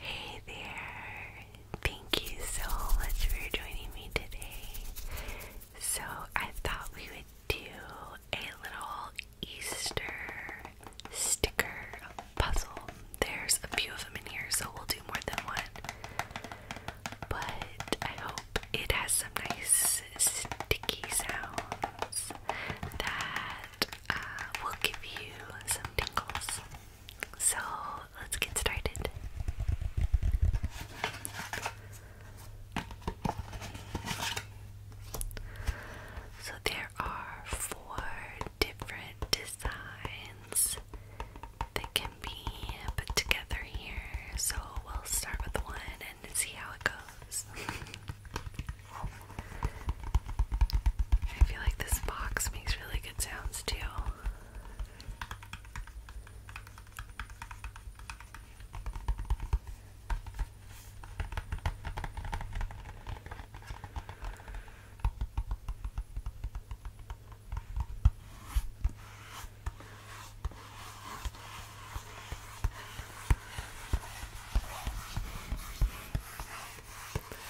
Hey there! Thank you so much for joining me today. So, I thought we would do a little Easter sticker puzzle. There's a few of them in here, so we'll do more than one. But I hope it has some nice sticky sounds that uh, will give you some tingles. So let's get started. So there are four different designs that can be put together here. So we'll start with one and see how it goes. I feel like this box makes really good sounds too.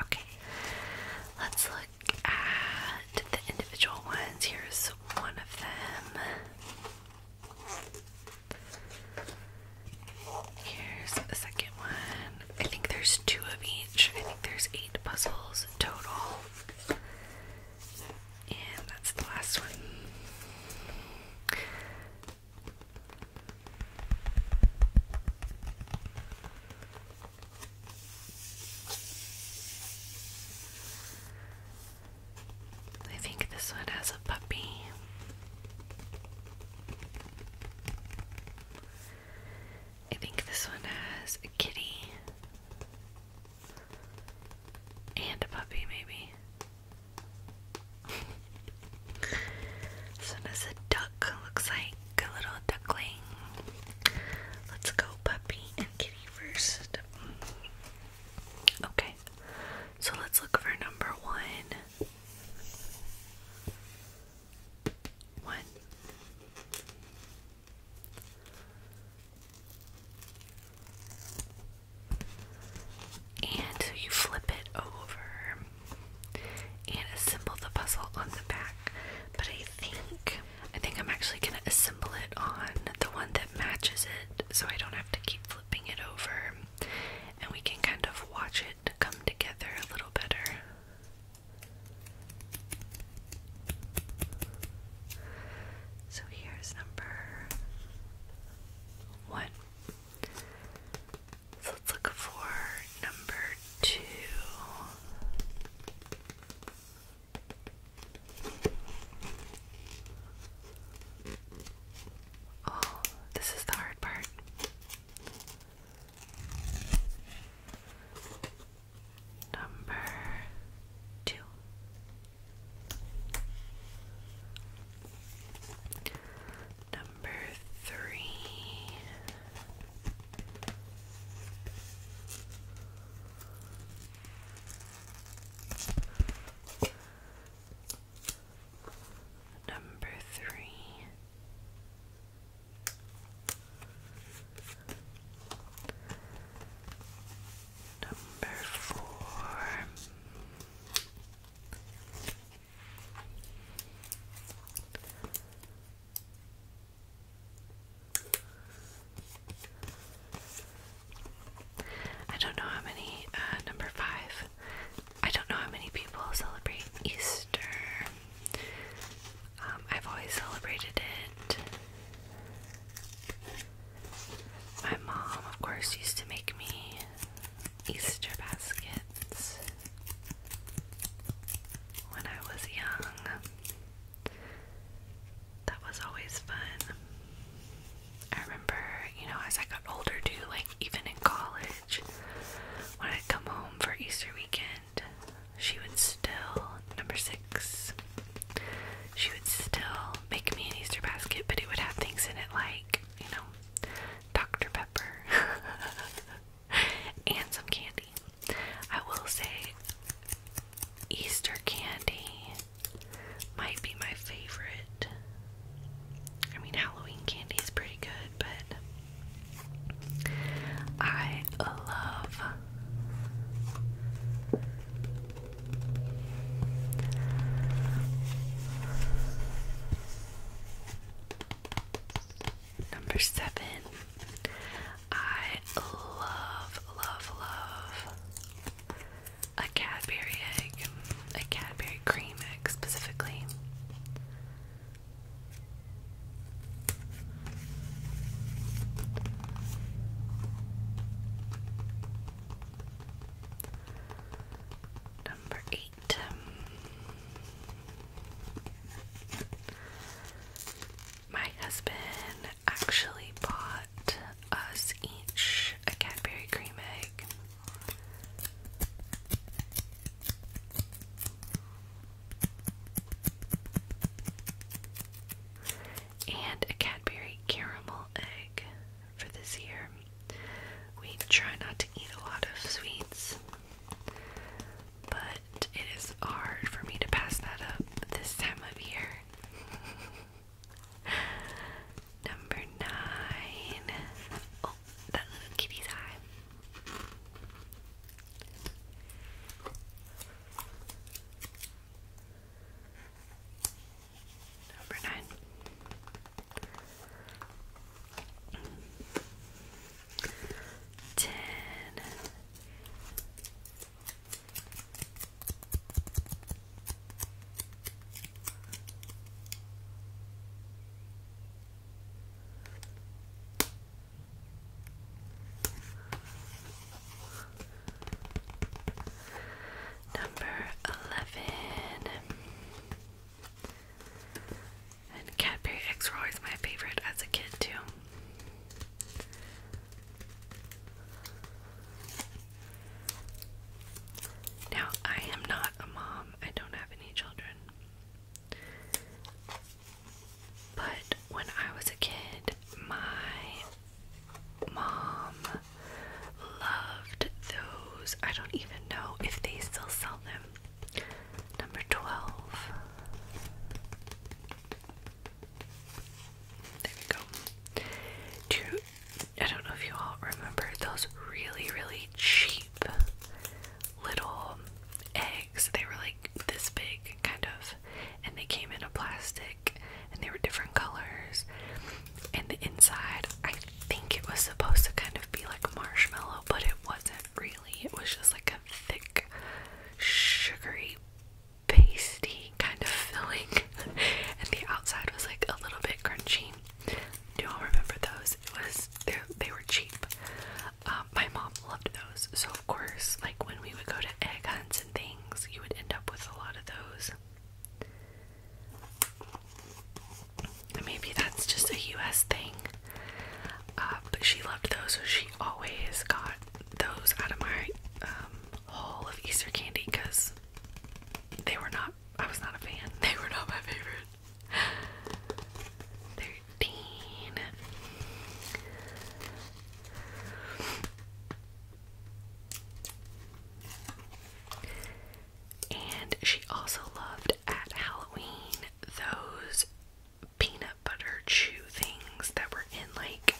Okay, let's look at the individual ones. Here's one of them. Here's the second one. I think there's two of each. I think there's eight puzzles total. And that's the last one. I think this one has a puppy. I think this one has a kitty and a puppy, maybe. this one has a duck, looks like a little duckling. Let's go puppy and kitty first. Okay, so let's look for number one. One. And you flip it over and assemble the puzzle on the back. But I think I think I'm actually gonna assemble it on the one that matches it so I don't have to keep flipping it over and we can kind of watch it come together a little better. So here's number one. So let's look for number two. Oh, this is the hard part. Number two. Number three. Number three. Number four. I don't know how many, uh, number five. I don't know how many people celebrate Easter. Um, I've always celebrated it. My mom, of course, used to make me Easter baskets when I was young. That was always fun. I remember, you know, as I got older too, like even in college, when I'd come home for Easter weekend, she would still, number six, she would still make me an Easter basket, but it would have things in it like, you know, Dr. Pepper. and some candy. I will say Easter candy might be my favorite. I mean, Halloween candy is pretty good, but I love. Number seven. I love, love, love a Cadbury egg, a Cadbury cream egg specifically. Number eight. My husband actually bought us each a Cadbury cream egg. And a Cadbury caramel egg for this year. We try not to eat a lot of sweets. But it is hard for me to pass that up this time of year. Number nine. Oh, that little kitty's eye. Number nine ten, number eleven. And Cadbury X were always my favorite as a kid, too. Now, I am not a mom, I don't have any children. But when I was a kid, my mom loved those. I don't even know if they still sell them, Number 12. There we go. I don't know if you all remember those really, really cheap little eggs. They were like this big, kind of, and they came in a plastic and they were different colors. And the inside, I think it was supposed to kind of be like marshmallow, but it wasn't really. It was just like a thick, sugary, pasty kind of filling, and the outside was like a little bit crunchy. Do all remember those? It was they were cheap. Um, my mom loved those, so of course, like when we would go to egg hunts and things, you would end up with a lot of those. Maybe that's just a US thing. Uh, but she loved those, so she always got those out of my um, haul of Easter candy because they were not, I was not a fan. They were not my favorite. 13. And she also loved at Halloween those peanut butter chew things that were in like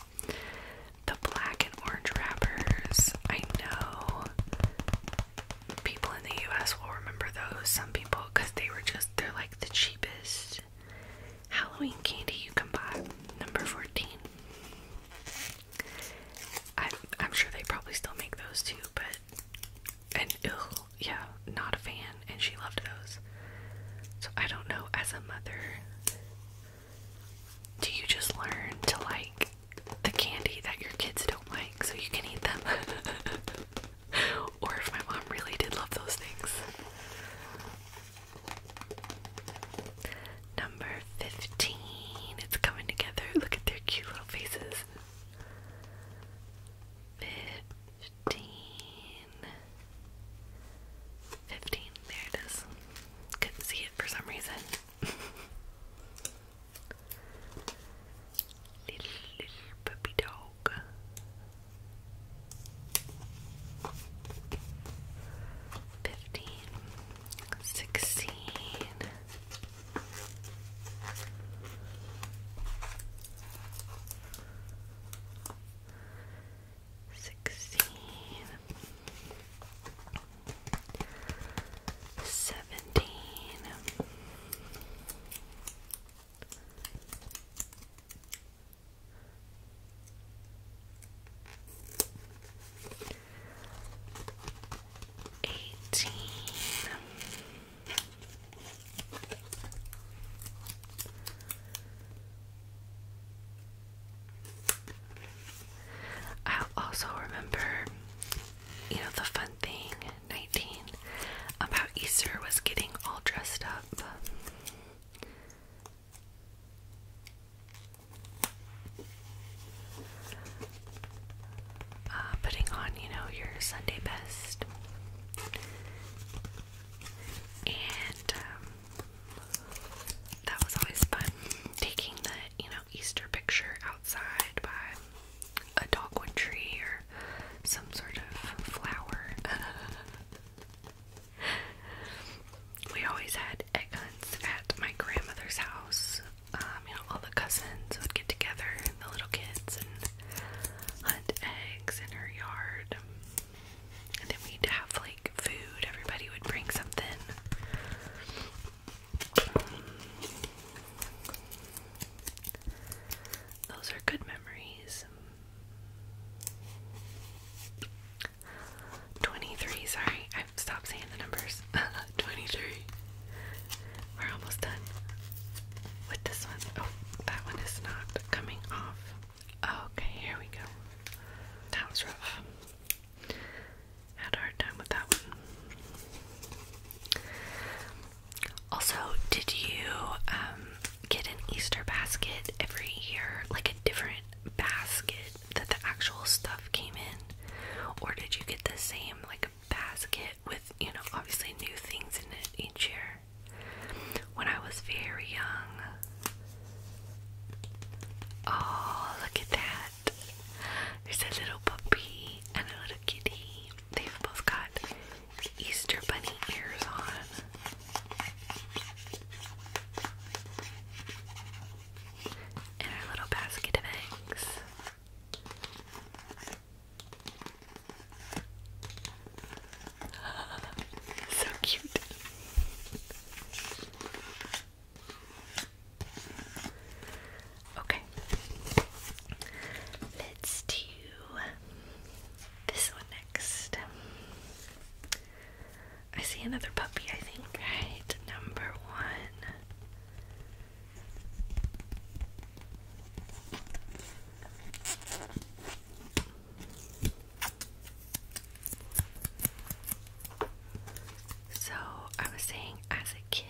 the black and orange wrappers. I know people in the US will remember those, some people, because they were just, they're like the cheapest Halloween candy you can buy. Number 14. I, I'm sure they probably still make those too, but and ill, yeah, not a fan, and she loved those. So I don't know, as a mother, do you just learn to like the candy that your kids don't like so you can eat them? or if my mom really did love those things. Number 15. It's coming together. Look at their cute little faces. 15. 15. There it is. Couldn't see it for some reason. little, little puppy dog. Fifteen, sixteen, sixteen, seventeen, eighteen i also remember, you know, the fun thing 19 about Easter was getting all dressed up. Uh, putting on, you know, your Sunday best and um, that was always fun. Taking the you know Easter picture outside by a dogwood tree or some sort of flower. we always had egg hunts at my grandmother's house. Um, you know, all the cousins would get together the little kids and hunt eggs in her yard. And then we'd have like food, everybody would bring something. Those are good memories. 23, sorry, i stopped saying the numbers. 23. We're almost done with this one. Oh, that one is not coming off. Okay, here we go. That was rough. Had a hard time with that one. Also, did you um, get an Easter basket every year? Like a different basket that the actual stuff came in? Or did you get the same, like, basket with, you know, obviously new things in it each year? when I was very young. Oh, look at that. There's a little puppy and a little kitty. They've both got Easter bunny ears on. And a little basket of eggs. so cute. Okay. Let's do this one next. I see another puppy, I think. Right, number one. So, I was saying as a kid,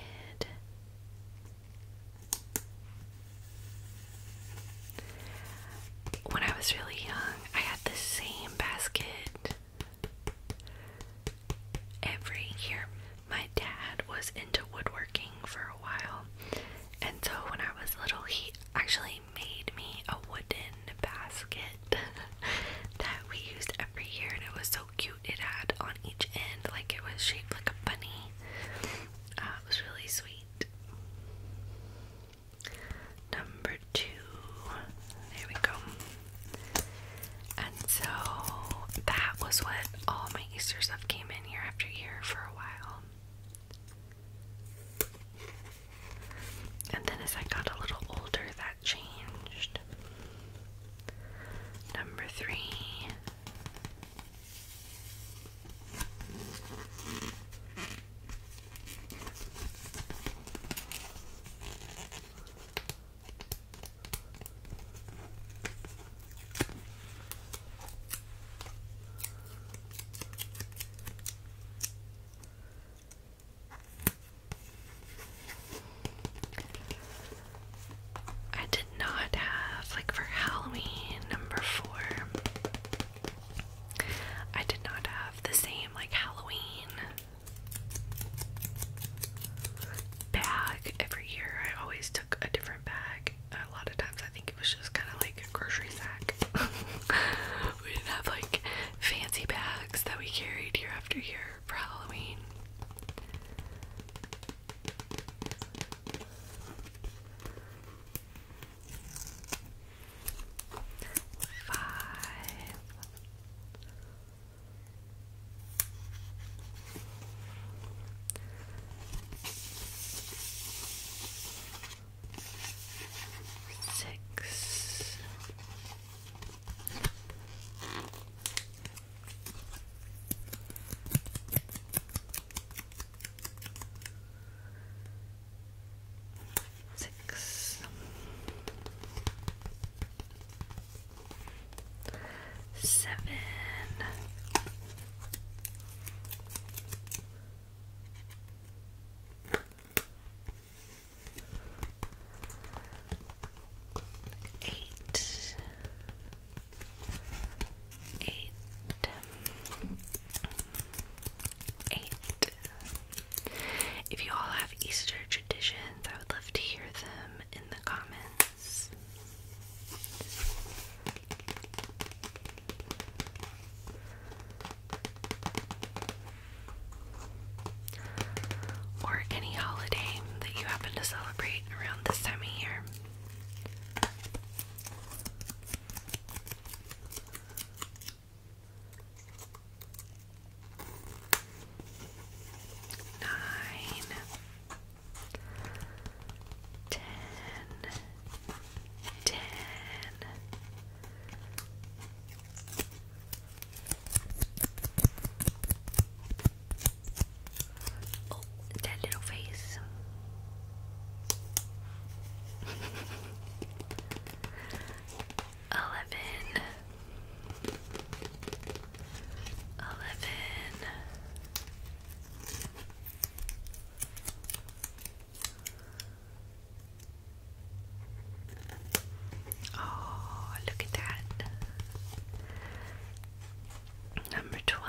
when I was really young, I had the same basket every year. My dad was into woodworking for a while, and so when I was little, he actually made me a wooden basket that we used every year, and it was so cute. It had on each end, like it was shaped like a bunny. Uh, it was really sweet. Number two, there we go. And so that was what all my Easter stuff came in year after year for a while. And then as I got a little older, that changed. Number three. I did not have, like, for Halloween number four, I did not have the same, like, Halloween bag every year. I always took a different different bag. A lot of times I think it was just kind of like a grocery sack. we didn't have like fancy bags that we carried year after year for Halloween. Five six. Six, seven, Eight, eight, eight. If you all have Easter traditions, I would love to hear them in the comments. Or any holiday that you happen to celebrate around this time of year. Nine, ten, ten. Oh, that little face. Eleven. Eleven. Oh, look at that. Number 12.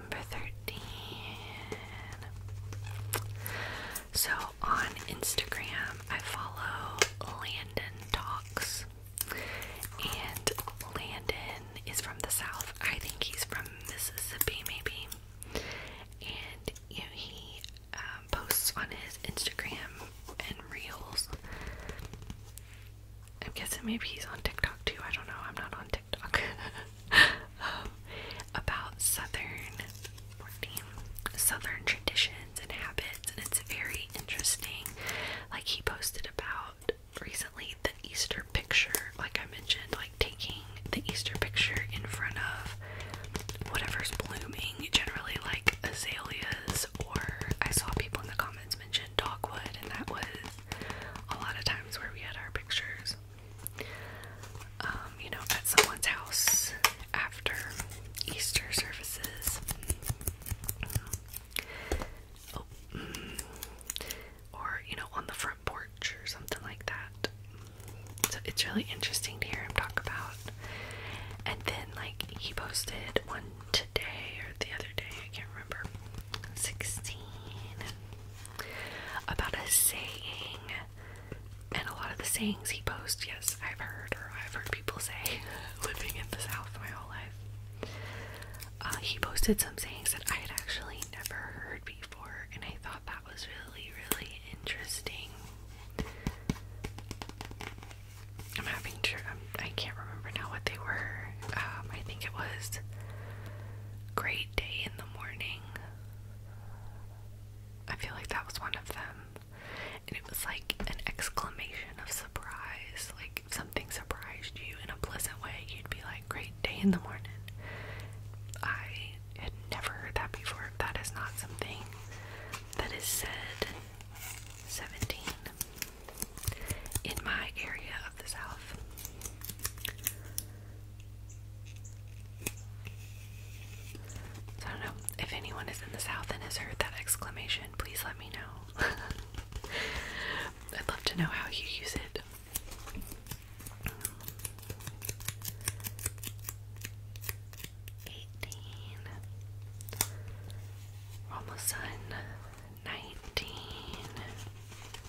Number 13. So on Instagram, I follow Landon Talks. And Landon is from the South. I think he's from Mississippi, maybe. And he um, posts on his Instagram and Reels. I'm guessing maybe he's on TikTok too. I don't know. I'm not on TikTok um, about Southern 14, Southern traditions and habits, and it's very interesting. Like he posted about recently the Easter picture, like I mentioned, like taking the Easter picture in front of whatever's blooming, generally like azaleas, or I saw people in the comments mention dogwood, and that was a lot of times where we had our pictures. Um, you know, at someone's house after Easter services. Oh, mm. Or, you know, on the front porch or something like that. So it's really interesting to hear him talk about. And then, like, he posted one today or the other day, I can't remember. 16 about a saying, and a lot of the sayings he posts, yes, I've heard or I've heard people say living in the South my whole life. Uh, he posted some sayings that I had actually never heard before, and I thought that was really, really interesting. I'm having tr I'm, um, I can not remember now what they were. Um, I think it was great day in the morning, I feel like that was one of them. And it was like an exclamation of surprise. Like, something surprised you in a pleasant way, you'd be like, Great day in the morning. I had never heard that before. That is not something that is said. 17. In my area of the South. So I don't know. If anyone is in the South and has heard that exclamation, please let me know. I'd love to know how you use it. Eighteen. We're almost done. Nineteen.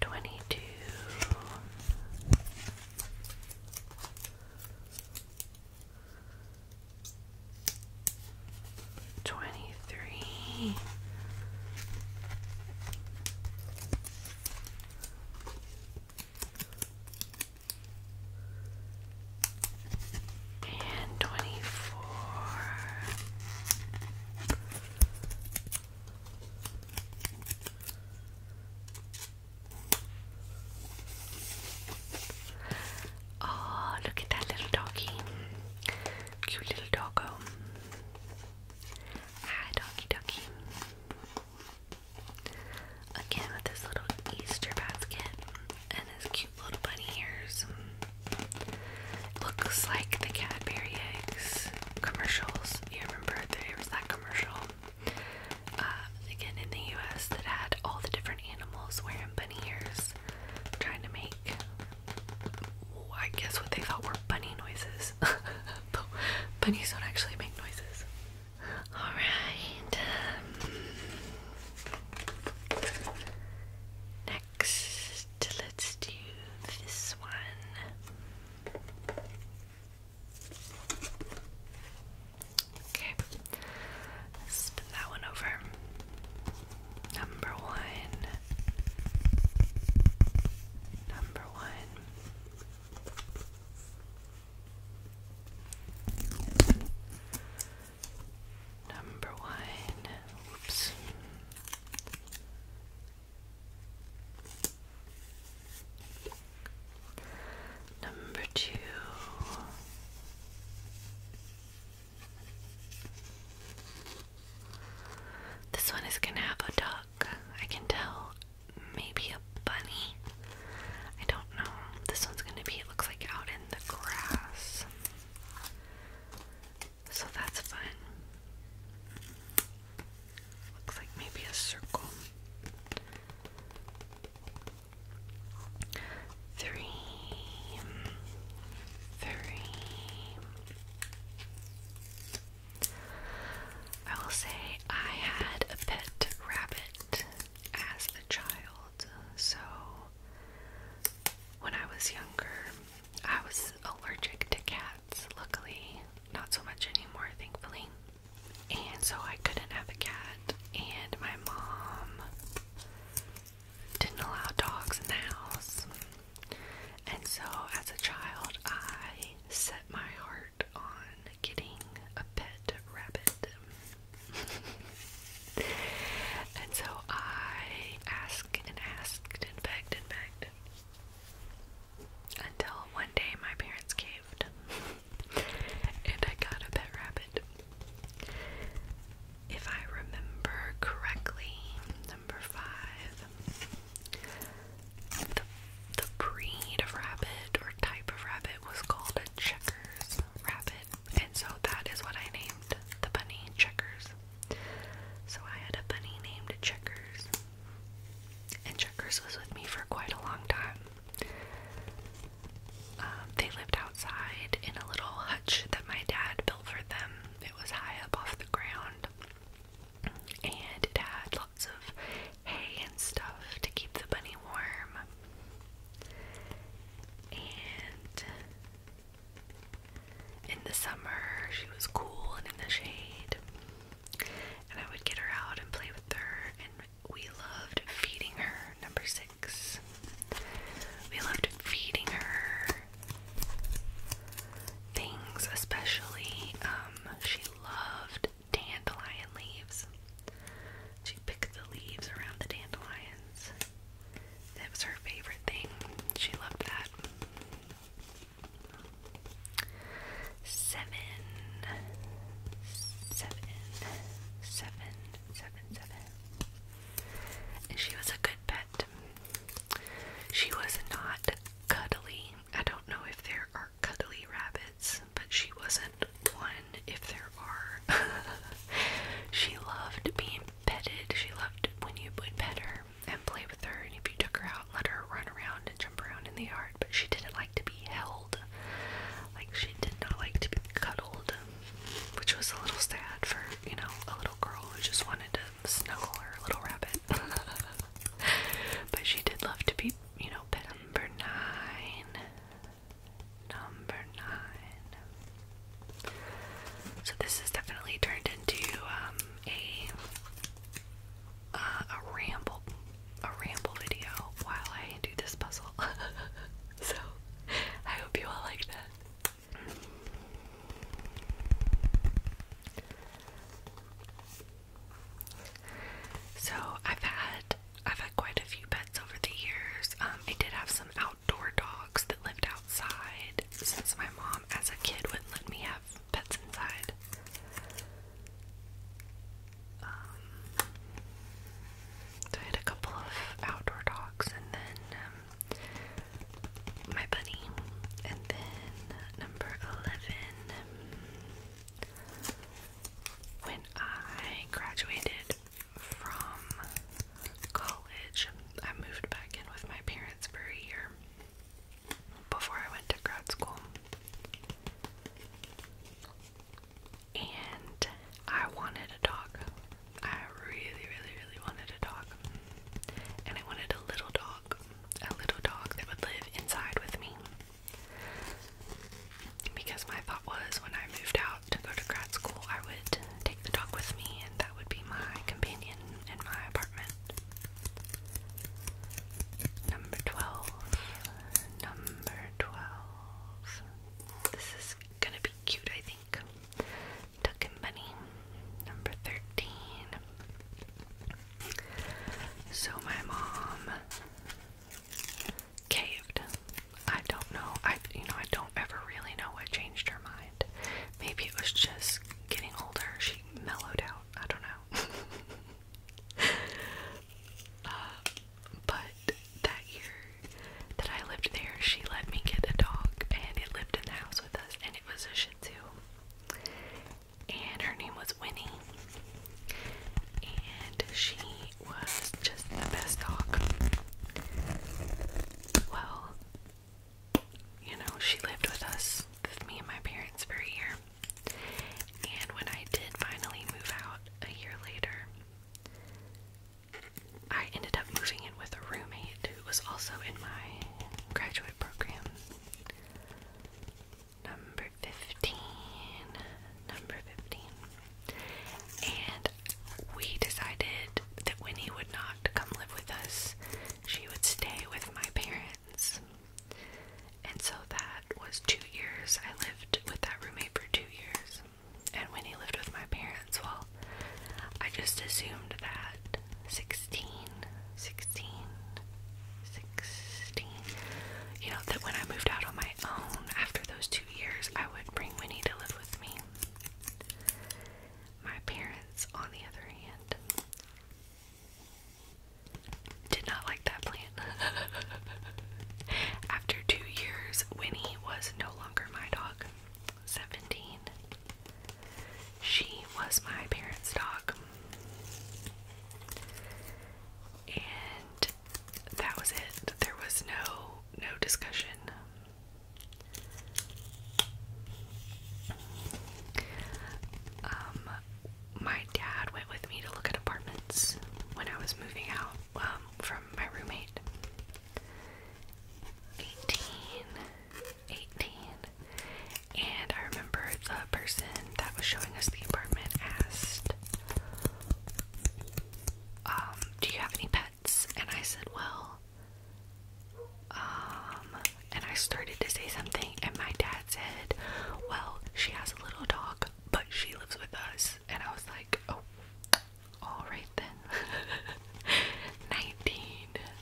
twenty two. Twenty three, and twenty four. Oh, look at that little doggy. Cute little doggo. Hi, doggy doggy. Again, with this little Easter basket and his cute little bunny ears. Looks like the Cadbury eggs commercials. You remember there was that commercial uh, again in the U.S. that had all the different animals wearing bunny ears, trying to make, I guess, what they thought were bunny noises. but bunnies don't actually make noises. All right. Um, Next, let's do this one. Okay, spin that one over. Number one. Number one. Number one. Oops. Number two. This one is going to have a duck. I can tell. Maybe a bunny. I don't know. This one's going to be, it looks like out in the grass. So that's fun. Looks like maybe a circle. Three, three. I will say I had a pet rabbit as a child. So, when I was younger, I was allergic to cats. Luckily, not so much anymore, thankfully. And so, I couldn't have a cat, and my mom didn't allow dogs in the house. And so, as a child, I set my heart on getting a pet rabbit and so I asked and asked and begged and begged until one day my parents caved and I got a pet rabbit. If I remember correctly, number five, the, the breed of rabbit or type of rabbit was called a checkers rabbit and so that is what I named the bunny Checkers. So I had a bunny named Checkers. And Checkers was with me for quite a long time. Um, they lived outside in a little hutch that my dad built for them. It was high up off the ground. And it had lots of hay and stuff to keep the bunny warm. And in the summer, she was cool and in the shade, and I would get her out and play with her, and we loved feeding her. Number six. We loved feeding her things, especially, um, she loved dandelion leaves. She picked the leaves around the dandelions that was her favorite thing. She loved that. Seven, seven, seven, seven, seven. she was a good pet. She was not cuddly. I don't know if there are cuddly rabbits, but she wasn't one if there she loved being petted. She loved when you would pet her and play with her, and if you took her out, let her run around and jump around in the yard. But she didn't like to be held. Like she did not like to be cuddled, which was a little sad for you know a little girl who just wanted to snuggle her little rabbit. but she did love to be you know pet number nine. Number nine. So this has definitely turned into um, a uh, a ramble, a ramble video while I do this puzzle. so I hope you all like that. So I've had I've had quite a few pets over the years. Um, I did have some out outdoor dogs that lived outside since my mom, as a kid, wouldn't let me have pets inside. Um, I had a couple of outdoor dogs, and then um, my bunny, and then number 11. Um, when I graduated from college. I moved back in with my parents for a year before I went to grad school. And I wanted a dog. I really, really, really wanted a dog. And I wanted a little dog. A little dog that would live inside with me. Because my thought was when I moved out to go to grad school, I would take the dog with me, and that would be my companion in my apartment. Number 12. Number 12. This is gonna be cute, I think. Duck and Bunny. Number 13. So my mom caved I don't know. I you know I don't ever really know what changed her mind. Maybe it was just getting older. She mellowed out. I don't know. Uh, but that year that I lived there, she let me get a dog, and it lived in the house with us, and it was a Shih Tzu. And her name was Winnie. And she was just the best dog well, you know, she lived with us, me and my parents for a year. And when I did finally move out a year later, I ended up moving in with a roommate who was also in my graduate program. Number 15. Number 15 we decided that Winnie would not come live with us. She would stay with my parents. And so that was two years. I lived with that roommate for two years. And Winnie lived with my parents. Well, I just assumed that 16, 16, 16, you know, that when I moved out on my own after those two years, I would bring Winnie to live with me. My parents, on the other hand, did not like that plant. After two years, Winnie was no longer my dog. 17. She was my parents' dog. And that was it. There was no no discussion. Um, my dad went with me to look at apartments when I was moving out um, from my roommate. 18, And I remember the person that was showing us the apartment asked, um, Do you have any pets? And I said, Well, um, and I started to say something, and my dad said, Well, she has a little dog, but she lives with us. And I was like, Oh, all right then. 19.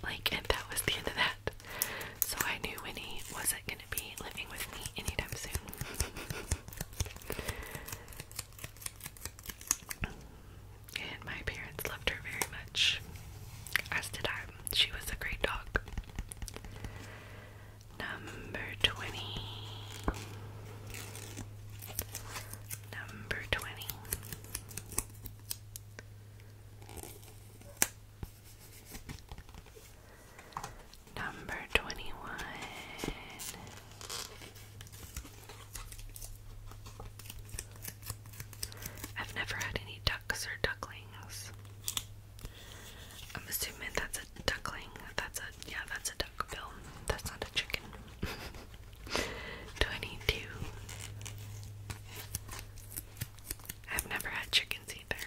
Like, and that was the end of that. So I knew Winnie wasn't gonna be living with me anytime soon. And my parents loved her very much, as did I. She was a great dog. Number 20. Number 20. Number 21. I've never had any ducks or ducklings. I'm assuming that's a duckling. That's a yeah, that's a duck bill. That's not a chicken. Twenty-two. I've never had chickens either.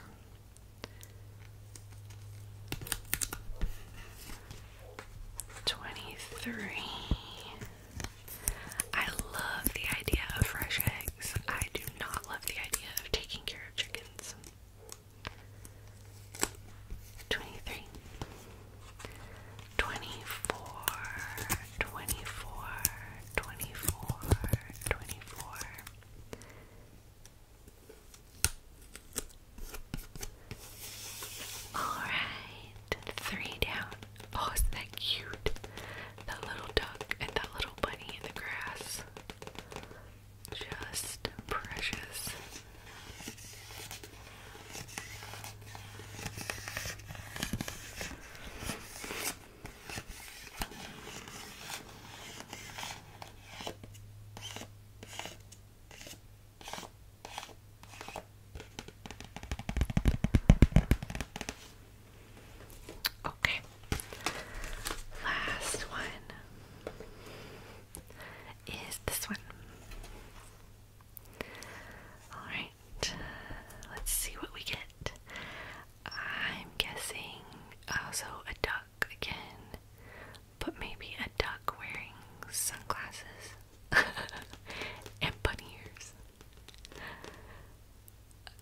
Twenty-three. I love the idea of fresh eggs. I do not love the idea of taking care of chickens. 23 All right three down. Oh, isn't that cute? That little duck and that little bunny in the grass. Just precious. Okay. Last one is this one. All right. Let's see what we get. I'm guessing also oh, a duck again, but maybe a duck wearing sunglasses. and bunny ears.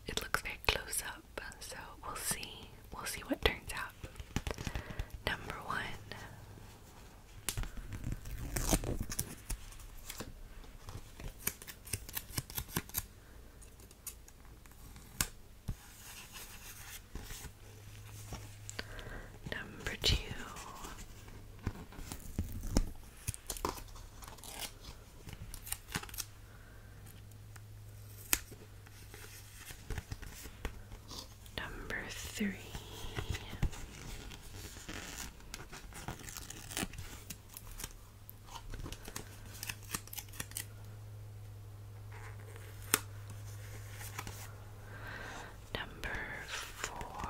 It looks very close up, so we'll see. We'll see what turns out. Number one. Number two. Number three. Number four.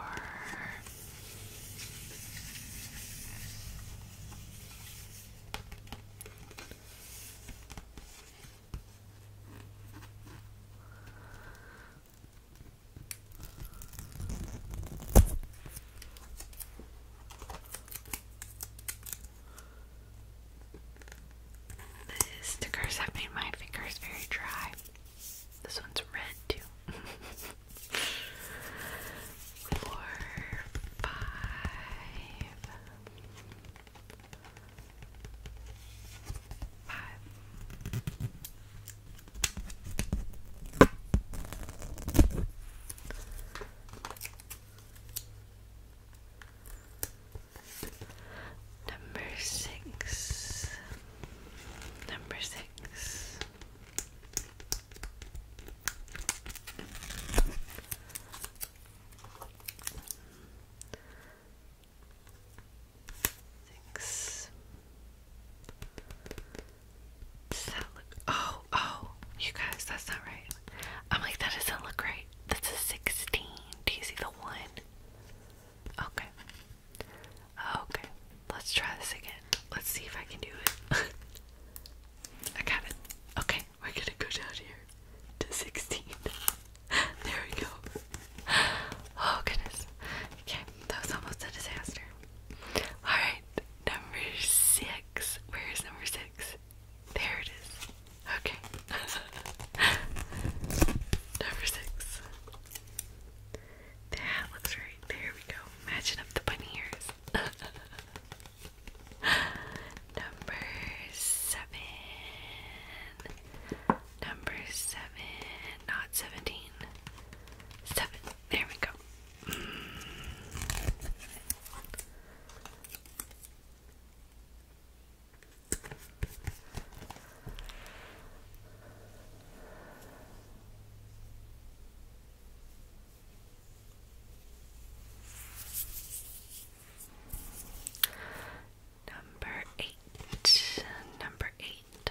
The stickers have made my fingers very dry. This one's red too. Number six. Number six. Six. Does that look? Oh, oh, you guys, that's not right. I'm like, that doesn't look right. That's a 16. Do you see the one? Okay. Oh, okay, let's try this again. Let's see if I can do it. I got it. Okay, we're gonna go down here to 16. there we go. Oh, goodness. Okay, that was almost a disaster. Alright, number six. Where is number six? There it is. Okay. number six. The looks right. There we go. Matching up the bunny ears. Number seven. Number seven. Not seventeen. Seven. There we go. Number eight. Number eight.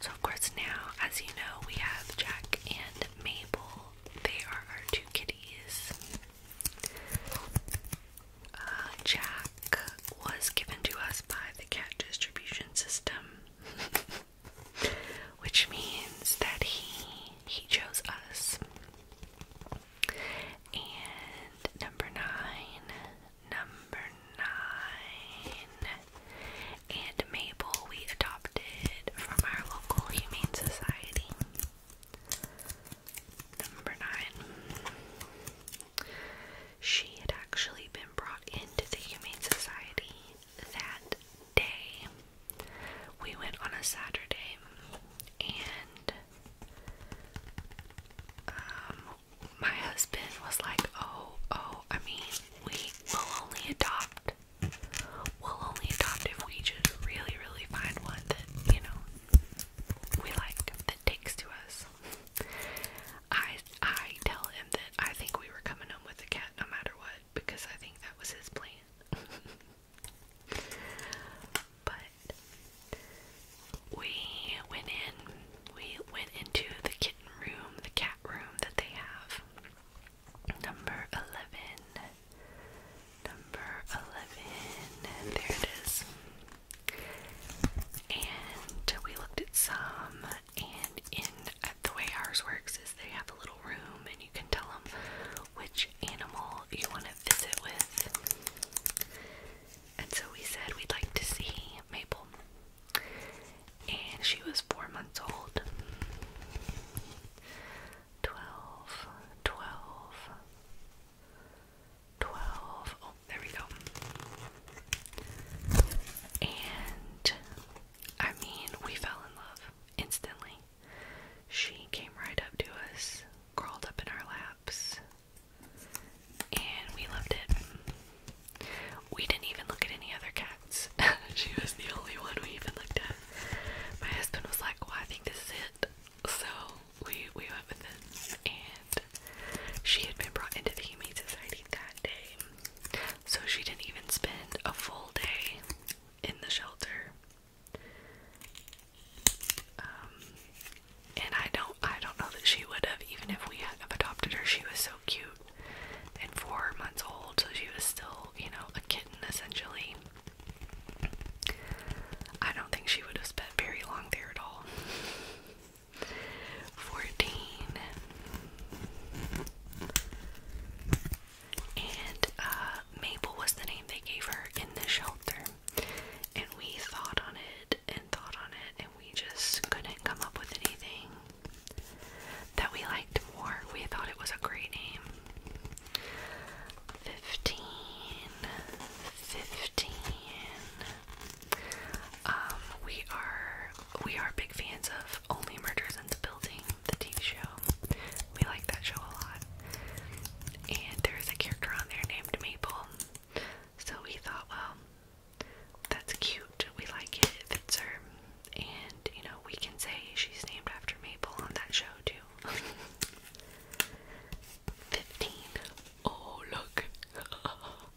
So, of course, now, as you know, we have Jack and Mabel. They are our two kitties. Uh, Jack was given to us by the cat distribution system. which means that he he chose us. And number nine, number nine, and Mabel we adopted from our local humane society. Number nine she had actually been brought into the Humane Society that day. We went on a Saturday and um, my husband was like, oh, oh, I mean, we will only adopt. We'll only adopt if we just really, really find one that, you know, we like, that takes to us. I I tell him that I think we were coming home with a cat no matter what because I think that was his plan. but we went in we went into the kitten room, the cat room that they have. Number 11. Number 11. There it is. And we looked at some and in the way ours works is they have a little room and you can tell them which animal you want to visit with. And so we said we'd like to see Maple. And she was four months old. 12, there we go. And I mean, we fell in love instantly. She came right up to us, crawled up in our laps, and we loved it. We didn't even look at any other cats. she was the only one we even looked at. My husband was like, Well, I think this is it. So we we went with this. and she had been brought into the Humane Society that day, so she didn't even spend a full day in the shelter. Um, and I don't, I don't know that she would have, even if we had adopted her. She was so cute and four months old, so she was still, you know, a kitten essentially. I don't think she would have spent very long there at all fourteen, and uh, Mabel was the name they gave her in the shelter. And we thought on it and thought on it, and we just couldn't come up with anything that we liked more. We thought it was a great name. 15, um, we are we are big fans of Only Murders in the Building, the TV show. We like that show a lot. And there is a character on there named Maple. So we thought, well, that's cute. We like it. It fits her. And, you know, we can say she's named after Maple on that show, too. 15. Oh, look.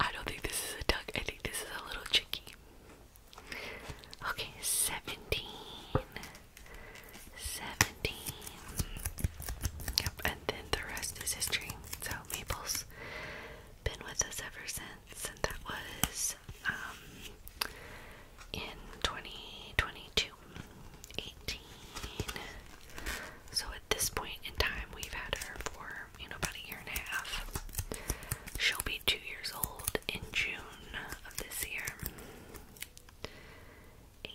I don't think this is a duck. I think this is a little chicky. Okay, 17. 17. Yep, and then the rest is history. So Maple's been with us ever since, and that was um in 2022. So this point in time, we've had her for, you know, about a year and a half. She'll be two years old in June of this year. 18,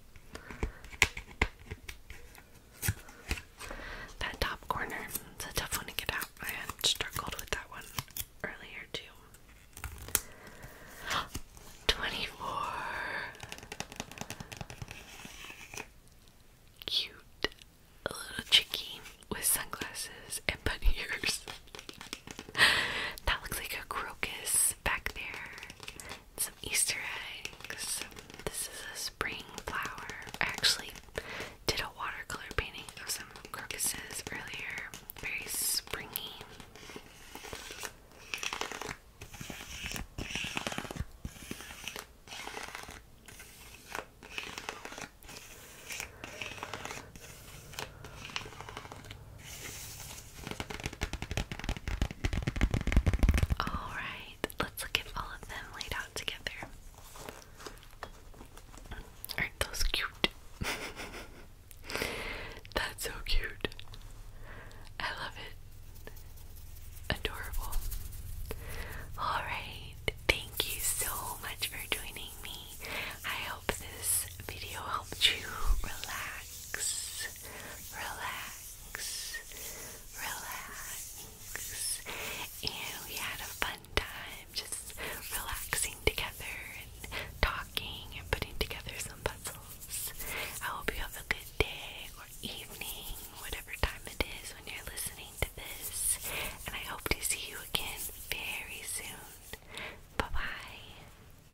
That top corner, it's a tough one to get out. I struggled with that one earlier too. 24 Cute a little chicky with sunglasses and bunny ears. that looks like a crocus back there, some Easter eggs. This is a spring flower. I actually did a watercolor painting of some crocuses earlier, very springy. Alright, let's look at all of them laid out together. Aren't those cute? That's so cute. I love it. Adorable. Alright, thank you so much for joining me. I hope this video helped you relax relax, relax. And we had a fun time just relaxing together and talking and putting together some puzzles. I hope you have a good day or evening, whatever time it is when you're listening to this. And I hope to see you again very soon. Bye bye.